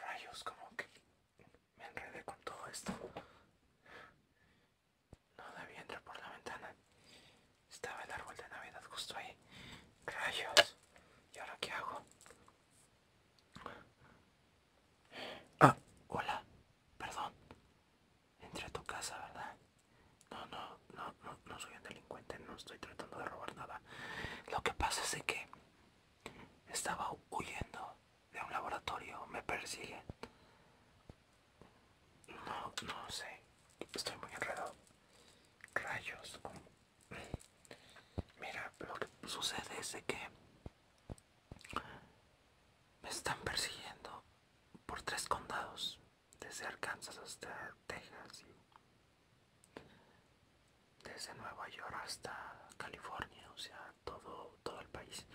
Rayos, como que me enredé con todo esto. No debía entrar por la ventana. Estaba el árbol de Navidad justo ahí. Rayos. ¿Y ahora qué hago? Ah, hola. Perdón. Entré a tu casa, ¿verdad? No, no, no, no, soy un delincuente, no estoy tratando de robar nada. Lo que pasa es que estaba huyendo de un laboratorio, me persiguen. No, no sé, estoy muy enredado. Rayos. Mira, lo que sucede es que me están persiguiendo por tres condados desde Arkansas hasta Texas desde Nueva York hasta California, o sea, todo, todo el país.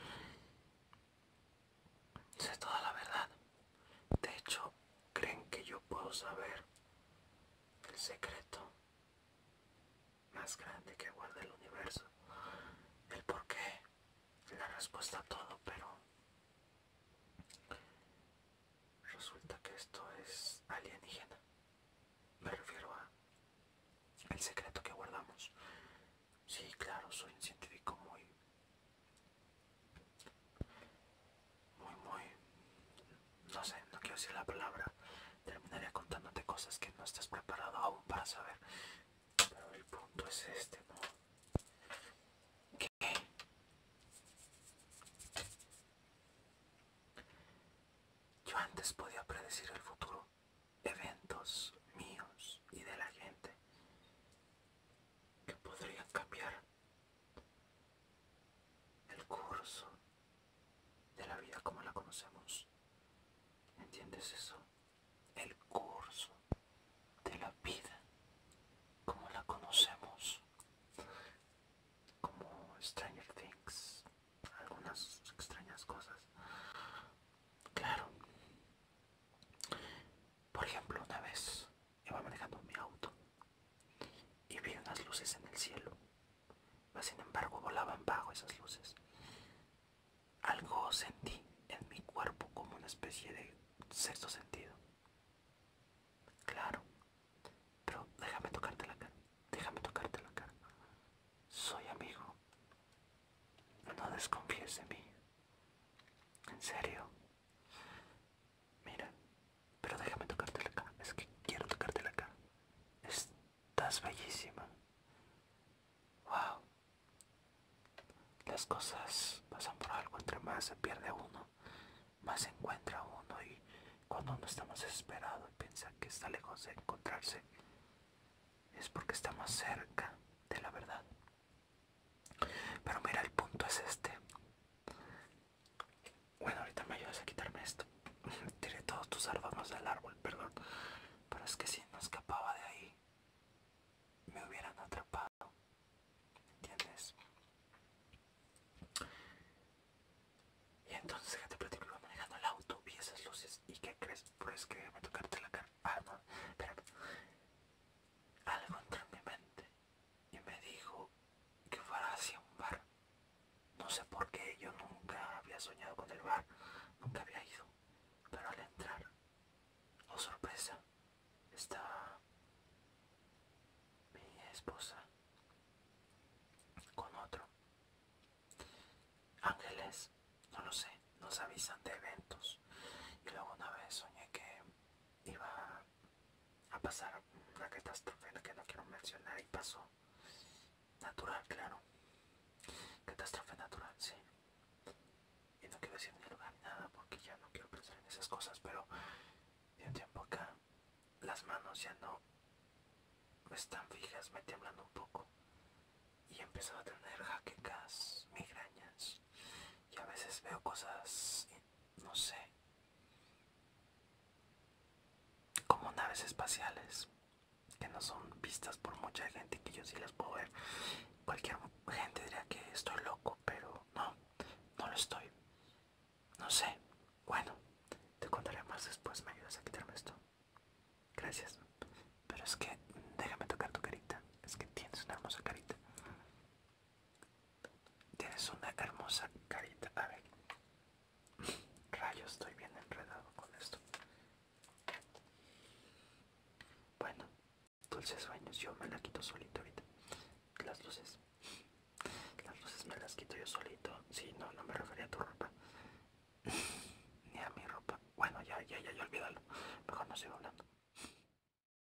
es toda la verdad. De hecho, creen que yo puedo saber el secreto más grande que guarda el universo. El por qué, la respuesta a todo, pero Resulta que esto es alienígena. Me refiero a el secreto que guardamos. Sí, claro, soy un científico muy muy muy no sé, no quiero decir la palabra. Terminaría contándote cosas que no estás preparado aún para saber. Pero el punto es este, ¿no? Que yo antes podía predecir el futuro, eventos míos y de la gente que podrían cambiar el curso de la vida como la conocemos. ¿Entiendes eso? el curso de la vida como la conocemos como Stranger Things algunas extrañas cosas claro por ejemplo una vez iba manejando mi auto y vi unas luces en el cielo sin embargo volaban bajo esas luces algo sentí en mi cuerpo como una especie de sexto sentido. Claro, pero déjame tocarte la cara, déjame tocarte la cara. Soy amigo. No desconfíes de mí. En serio. Mira, pero déjame tocarte la cara. Es que quiero tocarte la cara estás bellísima. Wow. Las cosas pasan por algo, entre más se pierde uno, más se encuentra uno y cuando uno está más desesperado y piensa que está lejos de encontrarse, es porque está más cerca de la verdad. Pero mira, el punto es este. Bueno, ahorita me ayudas a quitarme esto. Tiré todos tus árboles del árbol, perdón. Pero es que si no escapaba de ahí, me hubieran atrapado. ¿Entiendes? Y entonces, gente, platico, iba manejando el auto, y esas luces. ¿Y qué crees? Pues que me tocarte la cara. Ah, no, Algo entró en mi mente y me dijo que fuera hacia un bar. No sé por qué, yo nunca había soñado con el bar, nunca había ido. Pero al entrar, oh sorpresa, estaba mi esposa con otro. Ángeles, no lo sé, nos avisan de eventos. Y luego una vez soñé que iba a pasar una catástrofe que no quiero mencionar y pasó. Natural, claro. Catástrofe natural, sí. Y no quiero decir ni lugar ni nada porque ya no quiero pensar en esas cosas, pero de un tiempo acá las manos ya no están fijas, me tiemblan un poco. Y he empezado a tener jaquecas, migrañas. Y a veces veo cosas, no sé, como naves espaciales que no son vistas por mucha gente que yo sí las puedo ver cualquier gente diría que estoy loco pero no no lo estoy no sé bueno te contaré más después me ayudas a quitarme esto gracias pero es que déjame tocar tu carita es que tienes una hermosa carita Tienes una hermosa carita. A ver. Rayos, estoy bien enredado con esto. Bueno, dulces sueños. Yo me la quito solito ahorita. Las luces. Las luces me las quito yo solito. Si sí, no, no me refería a tu ropa. Ni a mi ropa. Bueno, ya, ya, ya, ya, olvídalo. Mejor no sigo hablando.